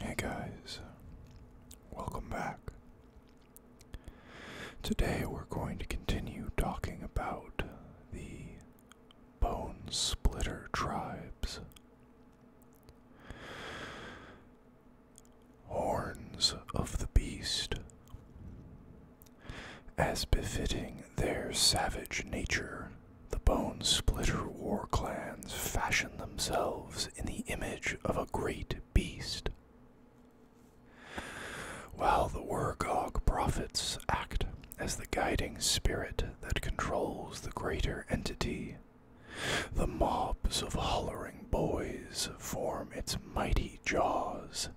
Hey guys, welcome back. Today we're going to continue talking about the Bone Splitter tribes. Horns of the Beast. As befitting their savage nature, the Bone Splitter war clans fashion themselves in the image of a great beast. While the Wergog prophets act as the guiding spirit that controls the greater entity, the mobs of hollering boys form its mighty jaws,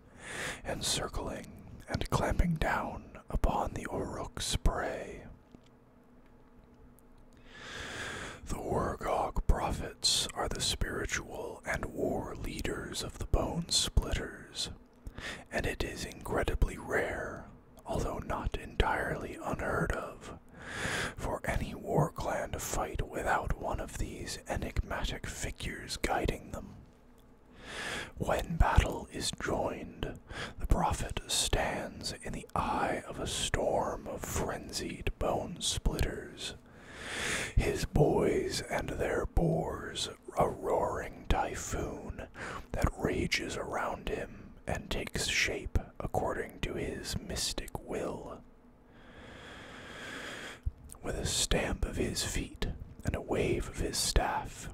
encircling and clamping down upon the oruk prey. The Wargog prophets are the spiritual and war leaders of the Bone Splitters, and it is incredibly rare, although not entirely unheard of, for any war clan to fight without one of these enigmatic figures guiding them. When battle is joined, the prophet stands in the eye of a storm of frenzied bone splitters. His boys and their boars, a roaring typhoon that rages around him and takes shape according to his mystic will. With a stamp of his feet and a wave of his staff,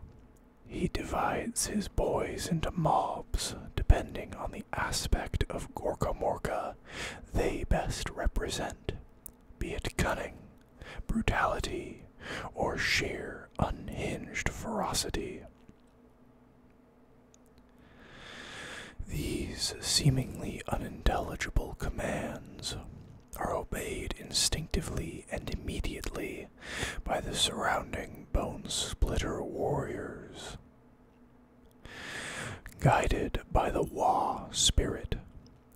he divides his boys into mobs depending on the aspect of Gorka Morka they best represent, be it cunning, brutality, or sheer unhinged ferocity. These seemingly unintelligible commands are obeyed instinctively and immediately by the surrounding bone splitter warriors. Guided by the Wa spirit,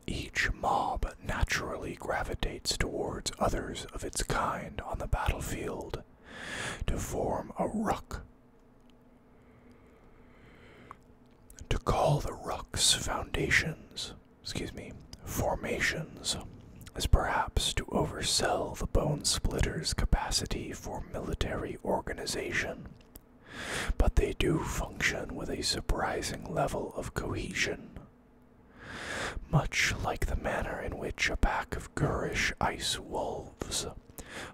each mob naturally gravitates towards others of its kind on the battlefield to form a ruck. To call the ruck's foundations excuse me, formations is perhaps to oversell the bone splitter's capacity for military organization, but they do function with a surprising level of cohesion. Much like the manner in which a pack of gurish ice wolves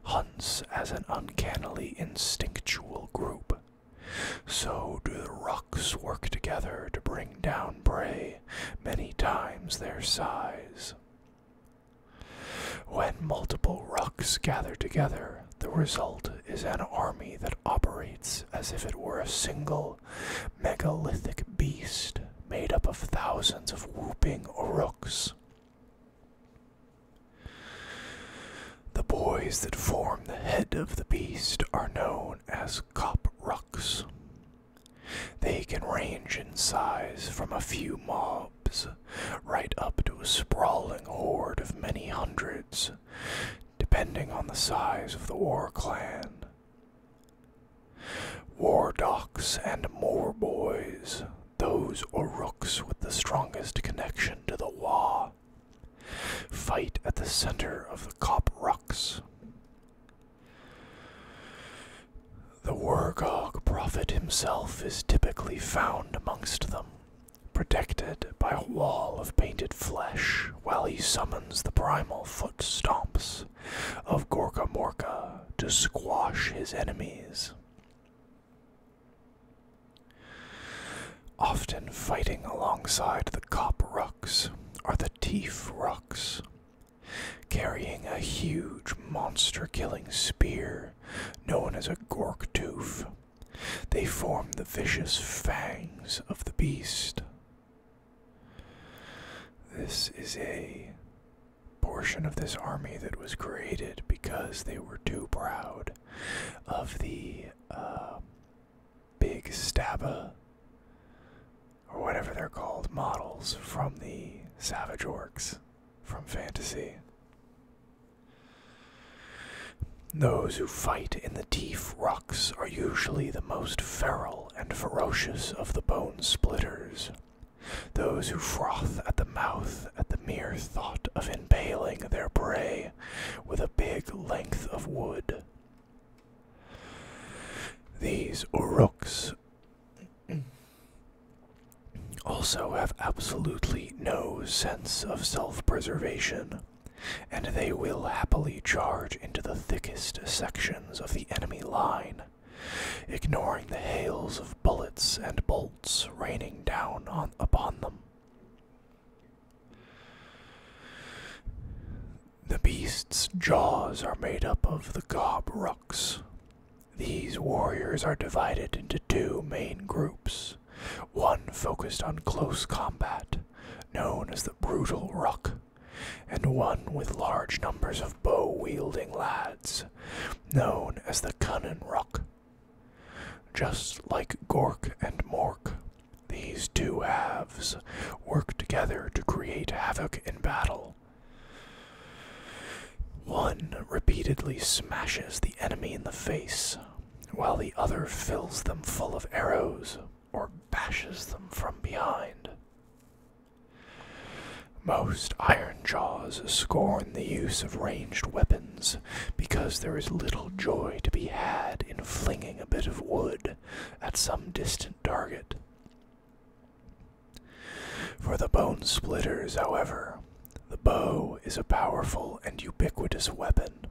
hunts as an uncannily instinctual group, so do the rocks work together to bring down prey many times their size. When multiple rooks gather together, the result is an army that operates as if it were a single megalithic beast made up of thousands of whooping rooks. The boys that form the head of the beast are known as cop rooks. They can range in size from a few mobs right up to a sprawling horde of many hundreds, depending on the size of the war clan. War docs and more boys, those Oruks with the strongest connection to the Wa, fight at the center of the Cop Rocks. The Wargog prophet himself is typically found amongst them, protected by a wall of painted flesh, while he summons the primal foot stomps of Gorka Morka to squash his enemies. Often fighting alongside the Kop are the Teef Rocks, carrying a huge monster killing spear known as a Gork Tooth. They form the vicious fangs of the beast. This is a portion of this army that was created because they were too proud of the uh, big stabba or whatever they're called models from the savage orcs from fantasy those who fight in the teeth rocks are usually the most feral and ferocious of the bone splitters those who froth at the mouth at the mere thought of impaling their prey with a big length of wood these rooks also have absolutely no sense of self preservation, and they will happily charge into the thickest sections of the enemy line, ignoring the hails of bullets and bolts raining down on, upon them. The beast's jaws are made up of the gob rucks. These warriors are divided into two main groups, one focused on close combat, known as the brutal ruck, and one with large numbers of bow wielding lads, known as the cunnin ruck. Just like Gork and Mork, these two halves work together to create havoc in battle. One repeatedly smashes the enemy in the face, while the other fills them full of arrows or bashes them from behind. Most iron jaws scorn the use of ranged weapons because there is little joy to be had in flinging a bit of wood at some distant target. For the bone splitters, however, the bow is a powerful and ubiquitous weapon.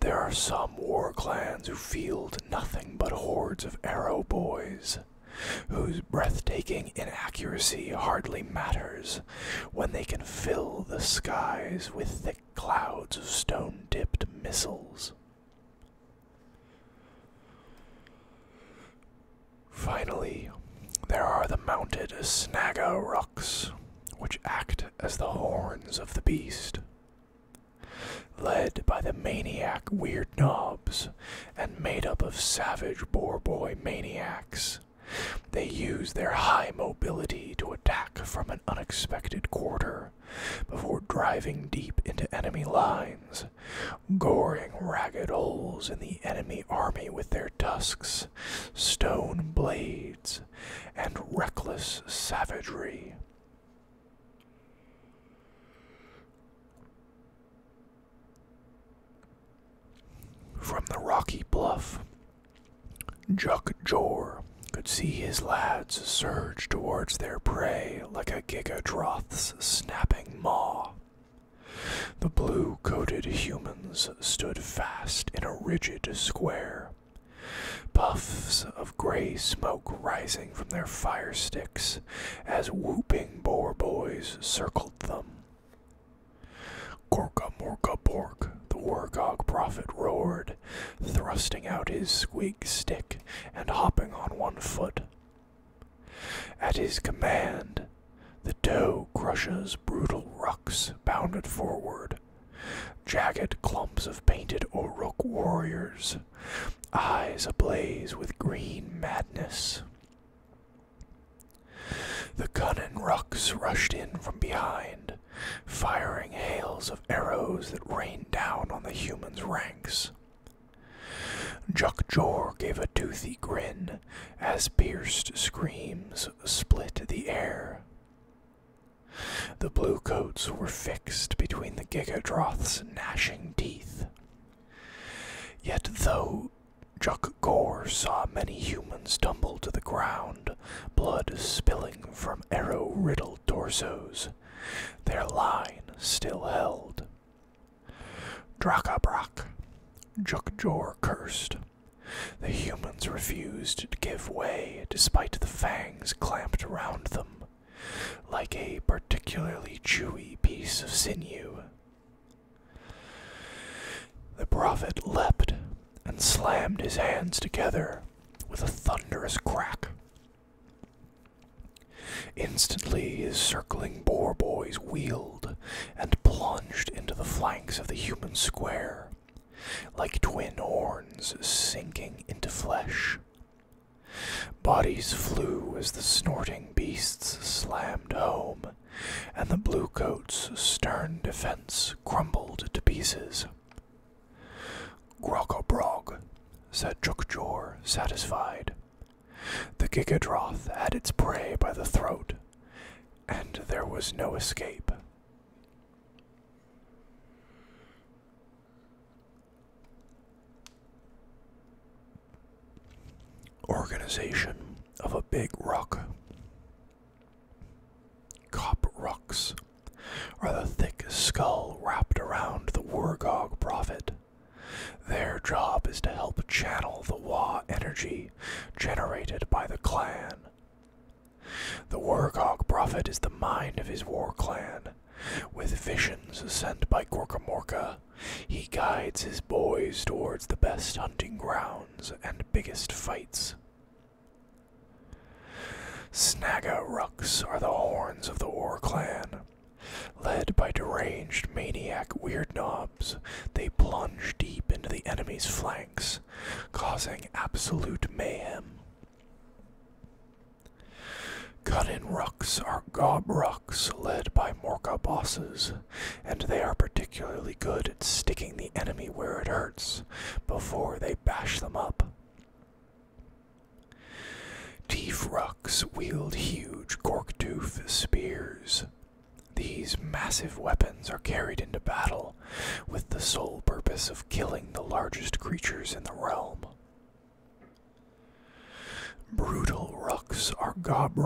There are some war clans who field nothing but hordes of arrow boys, whose breathtaking inaccuracy hardly matters when they can fill the skies with thick clouds of stone dipped missiles. Finally, there are the mounted Snaga rocks, which act as the horns of the beast. Led by the maniac Weird Knobs and made up of savage boar boy maniacs, they use their high mobility to attack from an unexpected quarter before driving deep into enemy lines, goring ragged holes in the enemy army with their tusks, stone blades, and reckless savagery. From the rocky bluff, Juck Jor could see his lads surge towards their prey like a gigadroth's snapping maw. The blue coated humans stood fast in a rigid square, puffs of gray smoke rising from their fire sticks as whooping boar boys circled them. Gorka Morka Bork the Wargog prophet roared, thrusting out his squeak stick and hopping on one foot. At his command, the toe crusher's brutal rucks bounded forward. Jagged clumps of painted Oruk warriors, eyes ablaze with green madness. The cunning rucks rushed in from behind, firing hails of arrows that rained down on the humans' ranks. Juck Jor gave a toothy grin as pierced screams split the air. The blue coats were fixed between the Gigadroth's gnashing teeth. Yet though Juck Jor saw many humans tumble to the ground, blood spilling from arrow riddled pale their line still held. Drakabrak, Jukjor cursed. The humans refused to give way despite the fangs clamped around them, like a particularly chewy piece of sinew. The prophet leapt and slammed his hands together, with a thunderous crack. Instantly his circling boar boys wheeled and plunged into the flanks of the human square, like twin horns sinking into flesh. Bodies flew as the snorting beasts slammed home, and the blue coats' stern defense crumbled to pieces. Brog," said Chukjor, satisfied. The Gigadroth had its prey by the throat, and there was no escape. Organization of a Big Rock. Cop rocks are the thick skull wrapped around the Wargog prophet. Their job is to help channel the Wa energy generated by the clan. The Wargog prophet is the mind of his war clan. With visions sent by Gorkamorka, he guides his boys towards the best hunting grounds and biggest fights. Snaga Rucks are the horns of the War Clan. Led by deranged maniac weird knobs, they plunge deep into the enemy's flanks, causing absolute mayhem. Cut-in rucks are gob rucks led by Morka bosses, and they are particularly good at sticking the enemy where it hurts before they bash them up. Teeth rucks wield huge gorktooth spears. These massive weapons are carried into battle with the sole purpose of killing the largest creatures in the realm. Brutal rucks are gob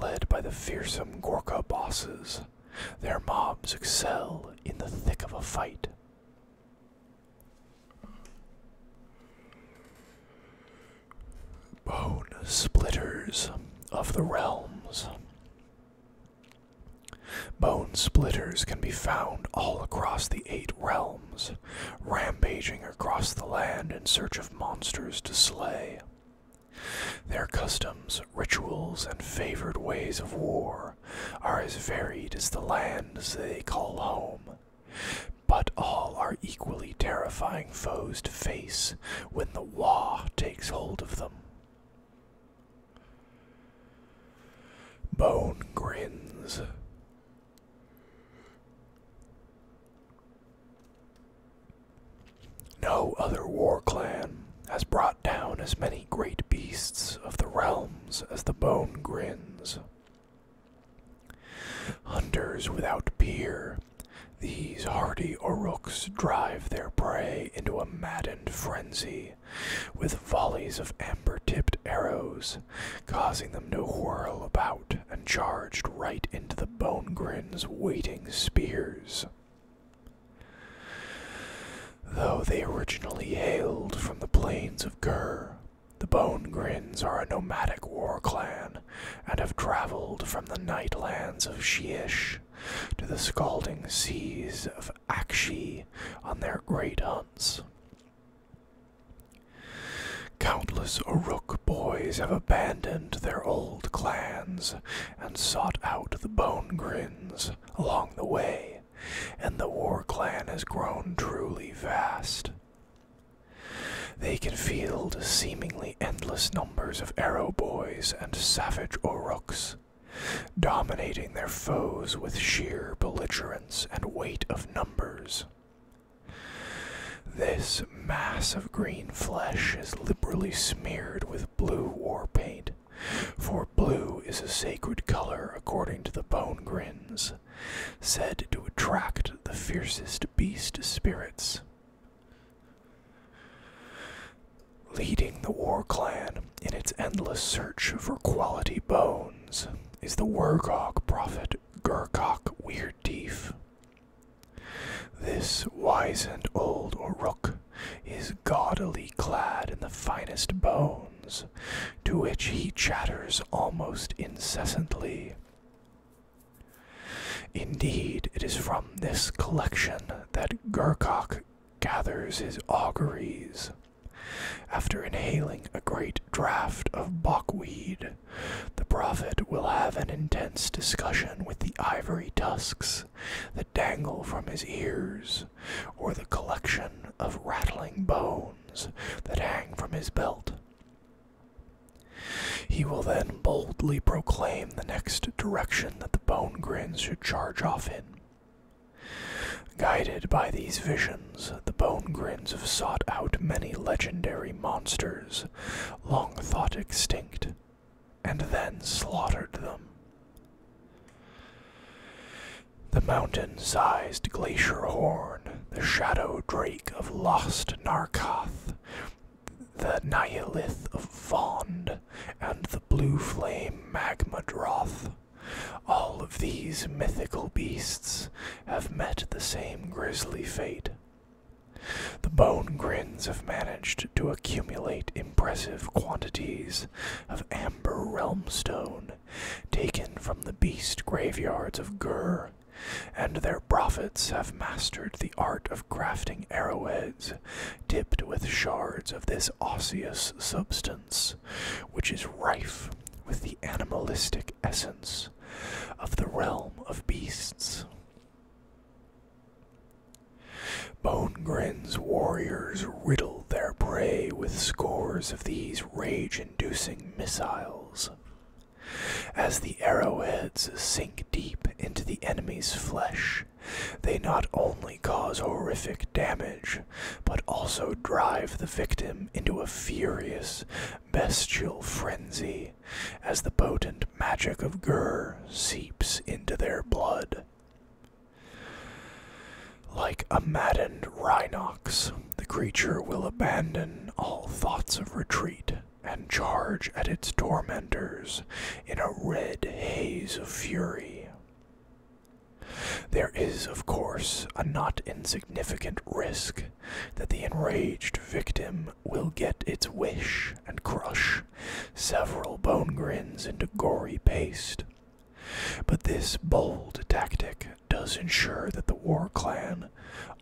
led by the fearsome Gorka bosses. Their mobs excel in the thick of a fight, Bone splitters of the realms. Bone splitters can be found all across the eight realms, rampaging across the land in search of monsters to slay. Their customs, rituals, and favored ways of war are as varied as the lands they call home. But all are equally terrifying foes to face when the war takes hold of them. Bone grins. No other war clan has brought down as many great beasts of the realms as the bone grins. Hunters without peer, these hardy Oruks drive their prey into a maddened frenzy with volleys of amber tipped arrows, causing them to whirl about and charged right into the bone grins' waiting spears. Though they originally hailed from the plains of Gur, the Bone Grins are a nomadic war clan and have traveled from the nightlands of Shiish, to the scalding seas of Akshi on their great hunts. Countless Uruk boys have abandoned their old clans and sought out the Bone Grins along the way, and the war clan has grown truly vast. They can field seemingly endless numbers of arrow boys and savage oruks, dominating their foes with sheer belligerence and weight of numbers. This mass of green flesh is liberally smeared with blue war paint, for blue is a sacred color according to the bone grins, said to attract the fiercest beast spirits. Leading the war clan in its endless search for quality bones is the Wergok prophet Gurkok Weird Teeth. This wizened old Oruk is gaudily clad in the finest bones, to which he chatters almost incessantly. Indeed, it is from this collection that Gurcock gathers his auguries. After inhaling a great draught of buckweed, the prophet will have an intense discussion with the ivory tusks that dangle from his ears or the collection of rattling bones that hang from his belt. He will then boldly proclaim the next direction that the bone grins should charge off in. Guided by these visions, the bone grins have sought out many legendary monsters long thought extinct, and then slaughtered them, the mountain sized glacier horn, the shadow drake of lost Narcoth, the Nihilith of Vond, and the blue flame magma droth. All of these mythical beasts have met the same grisly fate. The bone grins have managed to accumulate impressive quantities of amber realmstone taken from the beast graveyards of Gur, and their prophets have mastered the art of crafting arrowheads tipped with shards of this osseous substance, which is rife with the animalistic essence of the realm of beasts. Bonegrin's warriors riddle their prey with scores of these rage-inducing missiles. As the arrowheads sink deep into the enemy's flesh, they not only cause horrific damage, but also drive the victim into a furious, bestial frenzy as the potent magic of Gur seeps into their blood. Like a maddened rhinox, the creature will abandon all thoughts of retreat and charge at its tormentors in a red haze of fury. There is, of course, a not insignificant risk that the enraged victim will get its wish and crush several bone grins into gory paste. But this bold tactic does ensure that the war clan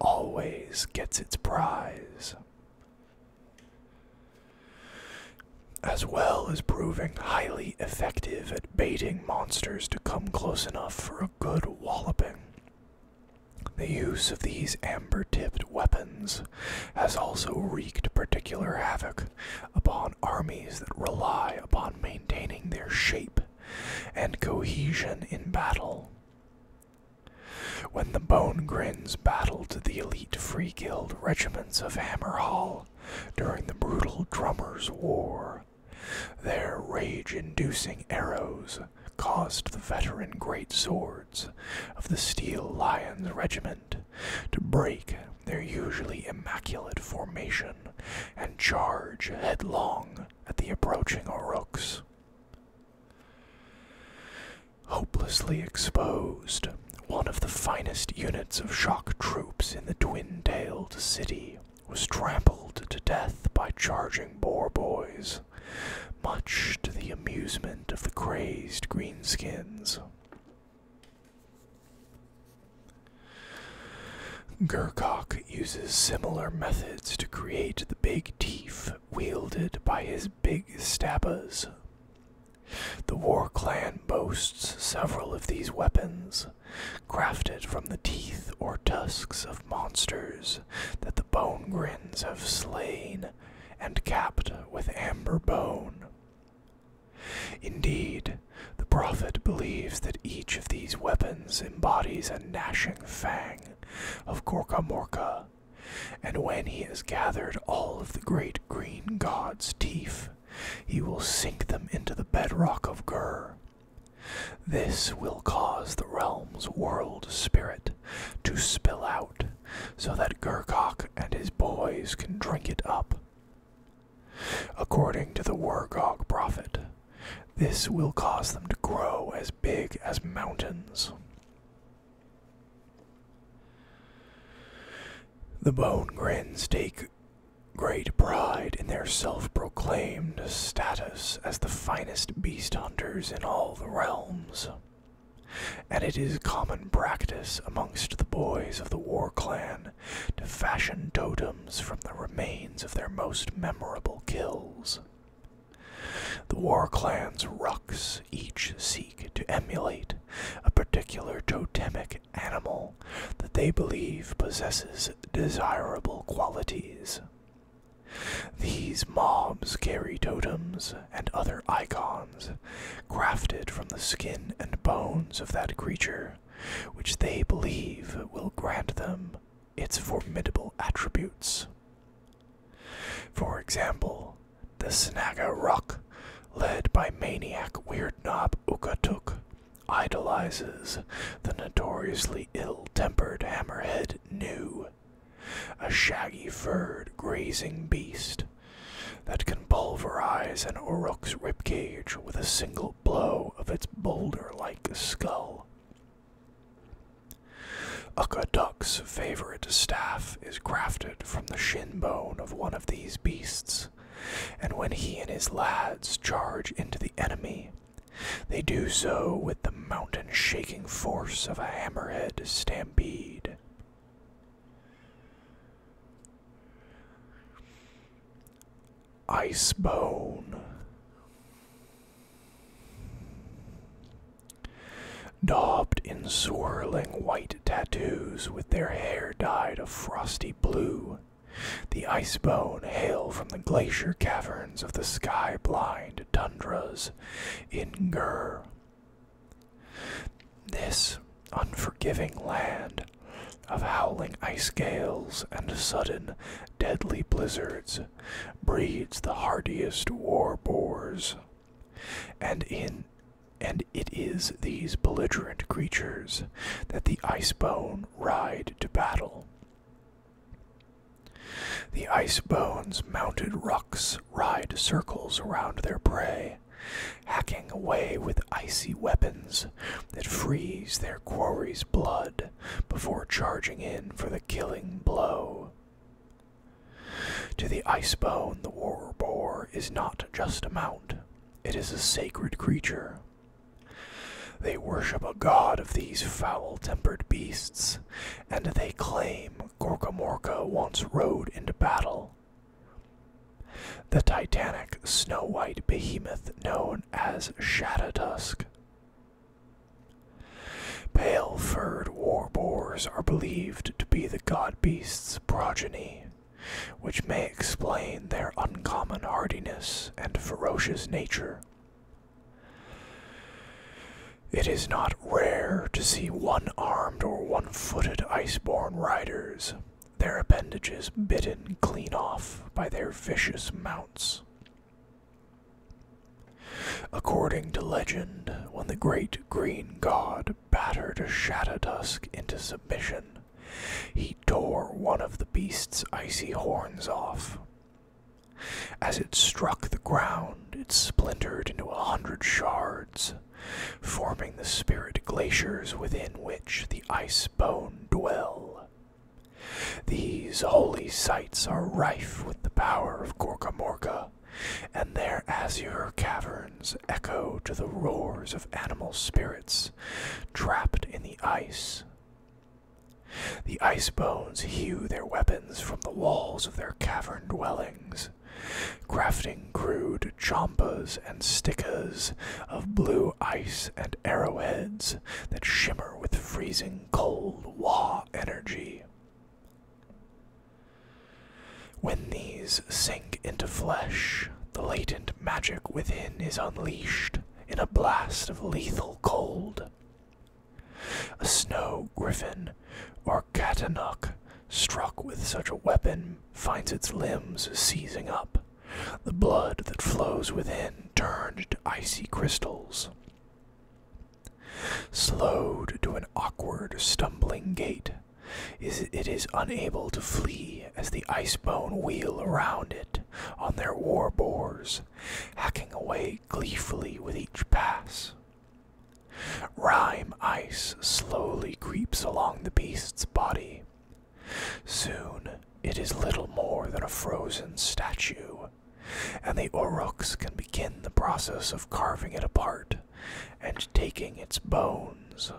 always gets its prize. As well as proving highly effective at baiting monsters to come close enough for a good walloping, the use of these amber tipped weapons has also wreaked particular havoc upon armies that rely upon maintaining their shape and cohesion in battle. When the Bone Grins battled the elite Free Guild regiments of Hammerhall during the brutal Drummers' War, their rage inducing arrows caused the veteran great swords of the Steel Lions regiment to break their usually immaculate formation and charge headlong at the approaching Orooks. Hopelessly exposed, one of the finest units of shock troops in the twin tailed city was trampled to death by charging boar boys, much to the amusement of the crazed greenskins. Gurcock uses similar methods to create the big teeth wielded by his big stabbas. The war clan boasts several of these weapons, crafted from the teeth or tusks of monsters that the bone have slain and capped with amber bone. Indeed, the prophet believes that each of these weapons embodies a gnashing fang of Gorkamorka, and when he has gathered all of the great green god's teeth, he will sink them into the bedrock of Gur. This will cause the realm's world spirit to spill out so that Gurgok and his boys can drink it up. According to the Wargog prophet, this will cause them to grow as big as mountains. The Bone Grins take great pride in their self proclaimed status as the finest beast hunters in all the realms. And it is common practice amongst the boys of the war clan to fashion totems from the remains of their most memorable kills. The war clan's rucks each seek to emulate a particular totemic animal that they believe possesses desirable qualities. These mobs carry totems and other icons grafted from the skin and bones of that creature, which they believe will grant them its formidable attributes. For example, the Snaga Rock, led by maniac Weird Knob Ukatuk, idolizes the notoriously ill-tempered Hammerhead Nu, a shaggy-furred grazing beast that can pulverize an Uruk's ribcage with a single blow of its boulder like skull. Uka Duck's favorite staff is grafted from the shin bone of one of these beasts, and when he and his lads charge into the enemy, they do so with the mountain shaking force of a hammerhead stampede. Icebone. Daubed in swirling white tattoos with their hair dyed a frosty blue, the Icebone hail from the glacier caverns of the sky blind tundras in this unforgiving land of howling ice gales and sudden, deadly blizzards breeds the hardiest war boars. And in and it is these belligerent creatures that the ice Icebone ride to battle. The ice Icebone's mounted rucks ride circles around their prey, hacking away with icy weapons that freeze their quarry's blood before charging in for the killing blow. To the icebone, the war boar is not just a mount, it is a sacred creature. They worship a god of these foul tempered beasts, and they claim Gorkamorka once rode into battle the titanic snow white behemoth known as Shadowdusk. Pale furred warboars are believed to be the god beast's progeny, which may explain their uncommon hardiness and ferocious nature. It is not rare to see one armed or one footed ice-born riders, their appendages bitten clean off by their vicious mounts. According to legend, when the great green god battered Shadowdusk into submission, he tore one of the beast's icy horns off. As it struck the ground, it splintered into a hundred shards, forming the spirit glaciers within which the ice bones dwell. These holy sites are rife with the power of Gorkamorka, and their azure caverns echo to the roars of animal spirits trapped in the ice. The ice bones hew their weapons from the walls of their cavern dwellings, trees, crafting crude chompas and stickers of blue ice and arrowheads that shimmer with freezing cold wah energy. When these sink into flesh, the latent magic within is unleashed in a blast of lethal cold. A snow griffin or Arkatanuk, struck with such a weapon, finds its limbs seizing up. The blood that flows within turned to icy crystals. Slowed to an awkward, stumbling gait, it is unable to flee as the ice wheel around it on their war bores, hacking away gleefully with each pass. Rime ice slowly creeps along the beast's body. Soon it is little more than a frozen statue, and the Oruks can begin the process of carving it apart and taking its bones.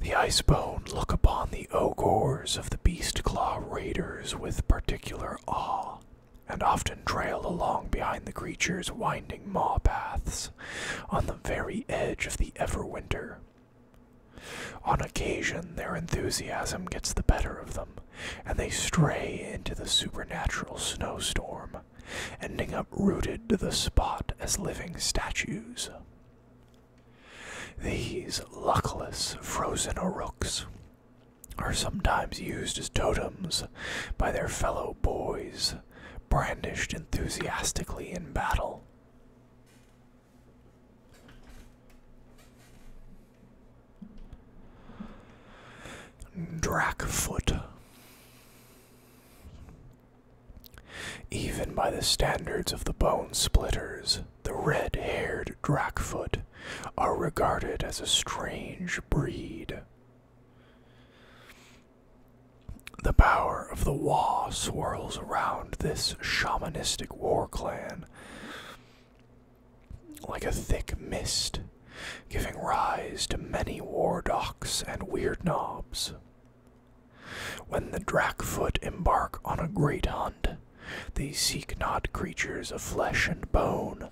The Icebone look upon the ogres of the Beast Claw Raiders with particular awe, and often trail along behind the creature's winding maw paths on the very edge of the everwinter. On occasion, their enthusiasm gets the better of them, and they stray into the supernatural snowstorm, ending up rooted to the spot as living statues. These luckless frozen rooks are sometimes used as totems by their fellow boys, brandished enthusiastically in battle. Drakfoot. Even by the standards of the bone splitters, the red haired Drakfoot are regarded as a strange breed. The power of the Wa swirls around this shamanistic war clan like a thick mist, giving rise to many war docks and weird knobs. When the Drakfoot embark on a great hunt, they seek not creatures of flesh and bone,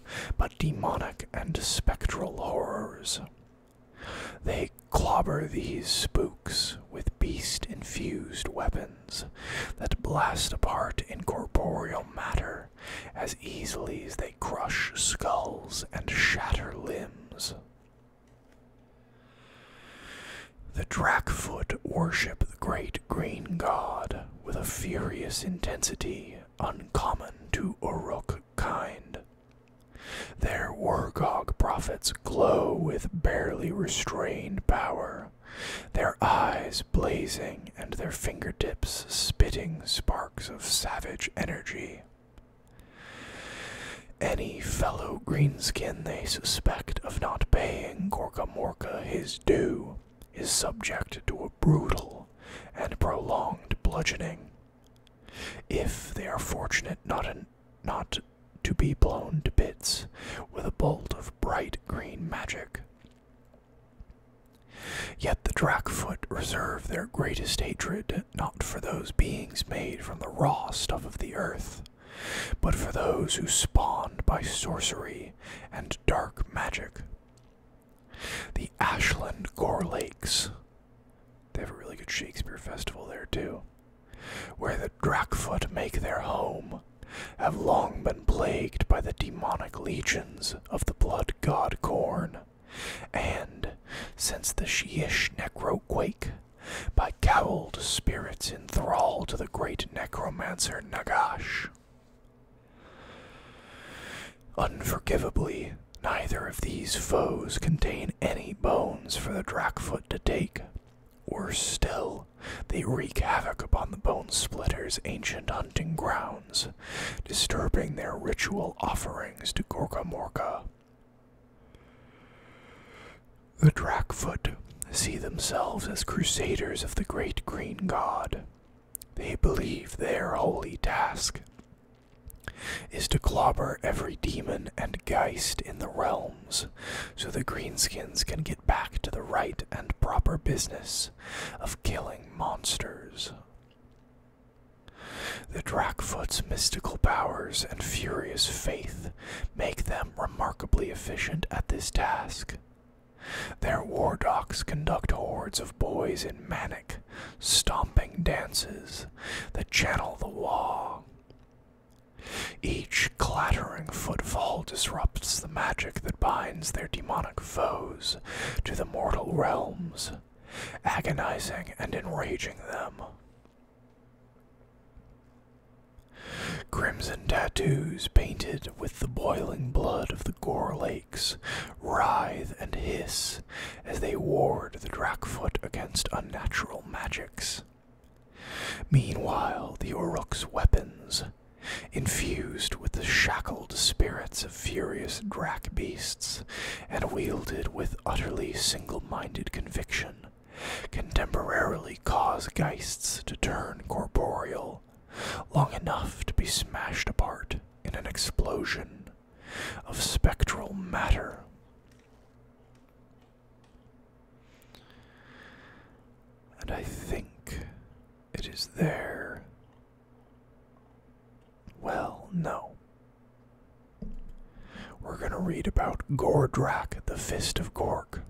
demonic and spectral horrors. They clobber these spooks with beast infused weapons that blast apart incorporeal matter as easily as they crush skulls and shatter limbs. The Drakfoot worship the great green god with a furious intensity uncommon to Uruk kind. Their Wargog prophets glow with barely restrained power, their eyes blazing and their finger tips spitting sparks of savage energy. Any fellow greenskin they suspect of not paying Gorgamorka his due is subject to a brutal and prolonged bludgeoning. If they are fortunate not, not to be blown to bits with a bolt of bright green magic. Yet the dracfoot reserve their greatest hatred not for those beings made from the raw stuff of the earth, but for those who spawn by sorcery and dark magic. The Ashland Gore Lakes. They have a really good Shakespeare festival there too. Where the Dracfoot make their home, have long been plagued by the demonic legions of the blood god Corn, and, since the Sheesh necroquake, by cowled spirits enthralled to the great necromancer Nagash. Unforgivably, neither of these foes contain any bones for the Drakfoot to take. Worse still, they wreak havoc upon the Bone Splitter's ancient hunting grounds, disturbing their ritual offerings to Gorka Morka. The Drakfoot see themselves as crusaders of the great green god, they believe their holy task is to clobber every demon and geist in the realms so the greenskins can get back to the right and proper business of killing monsters. The Drakfoot's mystical powers and furious faith make them remarkably efficient at this task. Their war docs conduct hordes of boys in manic, stomping dances that channel the wall. Each clattering footfall disrupts the magic that binds their demonic foes to the mortal realms, agonizing and enraging them. Crimson tattoos painted with the boiling blood of the Gore lake quakes, and hiss as they ward the dracfoot against unnatural magics. Meanwhile, the Uruk's weapons, infused with the shackled spirits of furious drac beasts, and wielded with utterly single minded conviction, can temporarily cause geists to turn corporeal long enough to be smashed apart in an explosion of spectral matter. And I think it is there. Well, no. We're going to read about Gordrac, the Fist of Gork.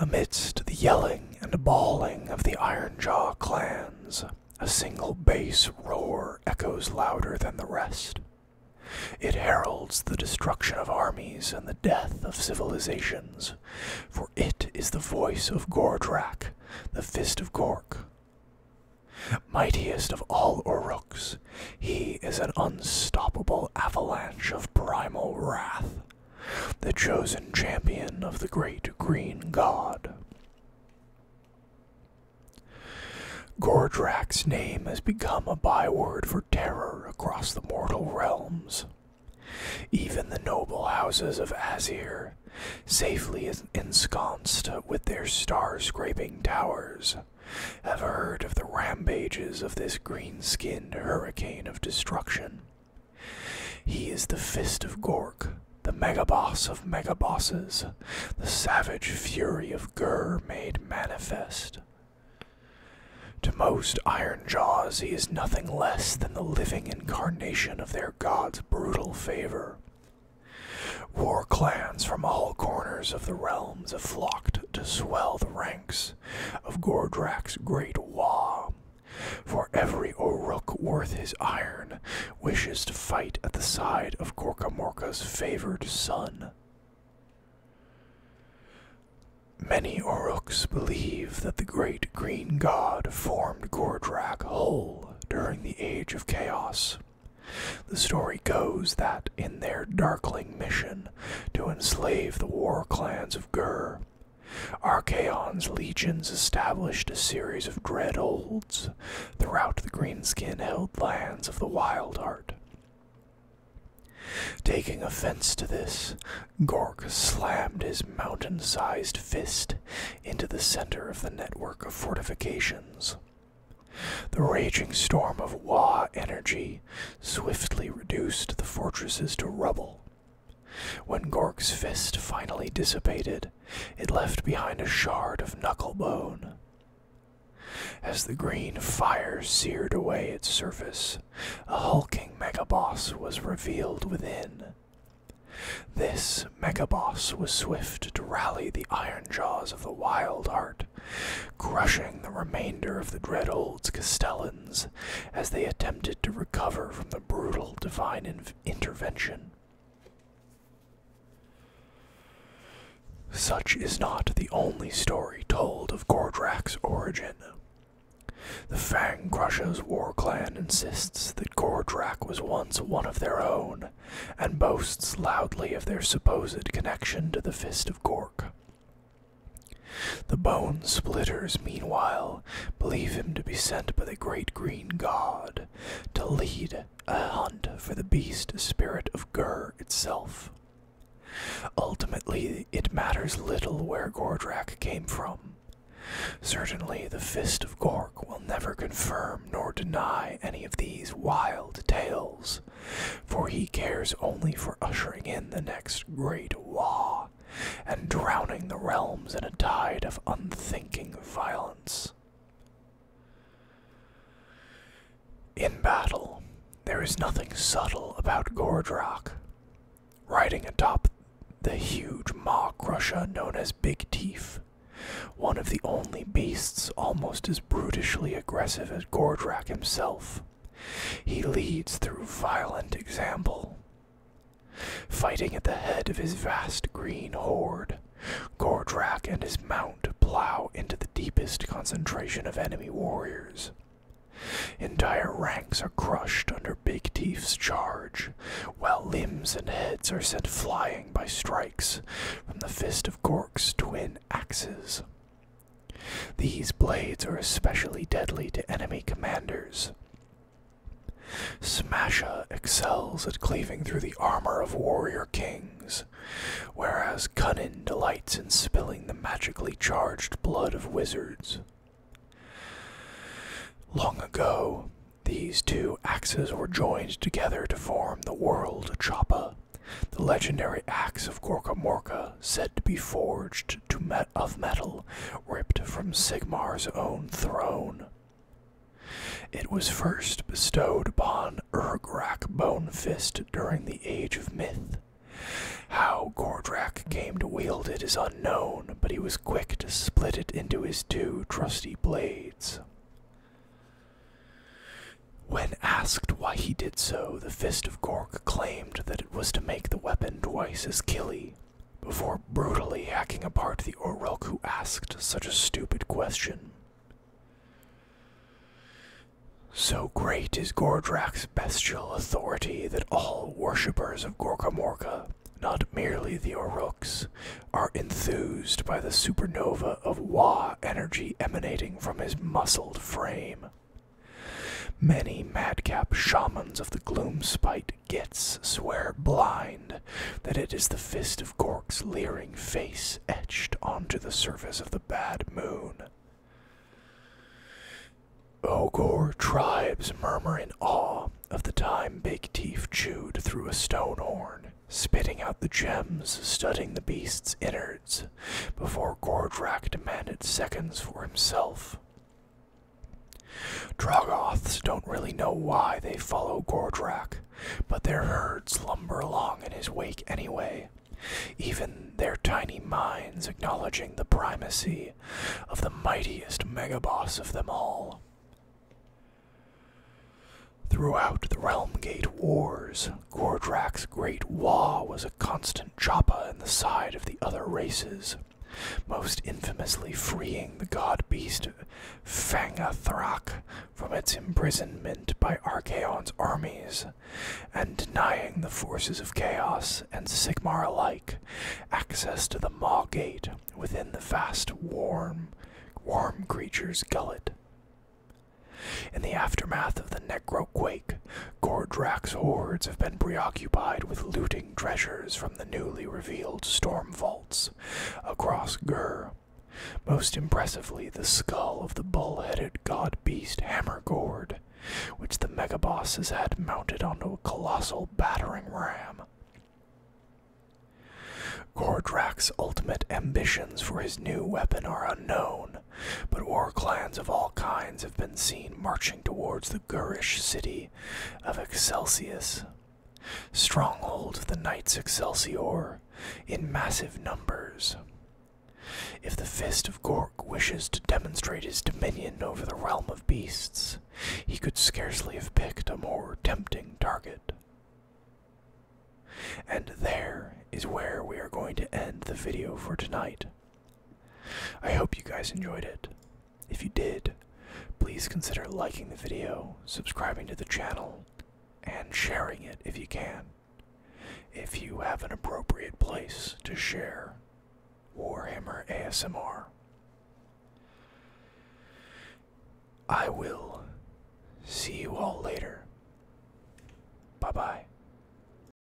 Amidst the yelling and bawling of the Ironjaw clans, a single bass roar echoes louder than the rest. It heralds the destruction of armies and the death of civilizations, for it is the voice of Gordrak, the fist of Gork. Mightiest of all Oruks, he is an unstoppable avalanche of primal wrath, the chosen champion of the great green god. Gordrak's name has become a byword for terror across the mortal realms. Even the noble houses of Azir, safely ensconced with their star-scraping towers, have heard of the rampages of this green-skinned hurricane of destruction, he is the fist of Gork, the megaboss of megabosses, the savage fury of Gur made manifest. To most Iron Jaws, he is nothing less than the living incarnation of their god's brutal favor. War clans from all corners of the realms have flocked to swell the ranks of Gordrac's great war. For every O'Rook worth his iron wishes to fight at the side of Gorkamorka's favored son. Many Oruks believe that the great green god formed Gordrak whole during the Age of Chaos. The story goes that in their darkling mission to enslave the war clans of Gur, Archaon's legions established a series of dread holds throughout the Greenskin held lands of the Wild Heart. Taking offense to this, Gork slammed his mountain sized fist into the center of the network of fortifications. The raging storm of Wa energy swiftly reduced the fortresses to rubble when Gork's fist finally dissipated, it left behind a shard of knucklebone. As the green fire seared away its surface, a hulking megaboss was revealed within. This megaboss was swift to rally the iron jaws of the Wild Heart, crushing the remainder of the Dread Old's Castellans as they attempted to recover from the brutal divine intervention. Such is not the only story told of Gordrak's origin. The Fang Crusher's war clan insists that Gordrak was once one of their own, and boasts loudly of their supposed connection to the Fist of Gork. The bone splitters, meanwhile, believe him to be sent by the great green god to lead a hunt for the beast spirit of Gur itself. Ultimately, it matters little where Gordrak came from. Certainly, the fist of Gork will never confirm nor deny any of these wild tales, for he cares only for ushering in the next great war and drowning the realms in a tide of unthinking violence. In battle, there is nothing subtle about Gordrock. Riding atop the huge maw crusher known as Big Teeth, one of the only beasts almost as brutishly aggressive as Gordrak himself, he leads through violent example. Fighting at the head of his vast green horde, Gordrak and his mount plow into the deepest concentration of enemy warriors. Entire ranks are crushed under Big Teeth's charge, while limbs and heads are sent flying by strikes from the fist of Gork's twin axes. These blades are especially deadly to enemy commanders. Smasha excels at cleaving through the armor of warrior kings, whereas Cunnin delights in spilling the magically charged blood of wizards. Long ago, these two axes were joined together to form the world Chapa, the legendary axe of Gorka Morka, said to be forged of metal ripped from Sigmar's own throne. It was first bestowed upon Urgrak Bonefist during the Age of Myth. How Gordrak came to wield it is unknown, but he was quick to split it into his two trusty blades. When asked why he did so, the Fist of Gork claimed that it was to make the weapon twice as killy. Before brutally hacking apart the Orelk who asked such a stupid question. So great is Gordrak's bestial authority that all worshippers of Gorkamorka, not merely the Oruks, are enthused by the supernova of Wa energy emanating from his muscled frame. Many madcap shamans of the Gloomspite gits swear blind that it is the fist of Gork's leering face etched onto the surface of the bad moon. Ogor tribes murmur in awe of the time Big Teeth chewed through a stone horn, spitting out the gems, studding the beast's innards, before Gordrak demanded seconds for himself. Drogoths don't really know why they follow Gordrak, but their herds lumber along in his wake anyway, even their tiny minds acknowledging the primacy of the mightiest megaboss of them all. Throughout the Realm Gate Wars, Gordrak's great Wa was a constant distant Joppa and the side of the other races, most infamously freeing the god beast Fangathrach from its imprisonment by Archaon's armies, and denying the forces of Chaos and Sigmar alike access to the Maw Gate within the vast warm, warm creature's gullet. In the aftermath of the necro quake Gordrak's hordes have been preoccupied with looting treasures from the newly revealed storm vaults across Gur. Most impressively, the skull of the bull-headed god-beast Hammergord, which the megaboss has had mounted onto a colossal battering ram. Gordrak's ultimate ambitions for his new weapon are unknown, but war clans of all kinds have been seen marching towards the Gurish city of Excelsius, stronghold of the Knights Excelsior, in massive numbers. If the Fist of Gork wishes to demonstrate his dominion over the realm of beasts, he could scarcely have picked a more tempting target. And there is where we are going to end the video for tonight. I hope you guys enjoyed it. If you did, please consider liking the video, subscribing to the channel, and sharing it if you can. If you have an appropriate place to share Warhammer ASMR, I will see you all later. Bye bye.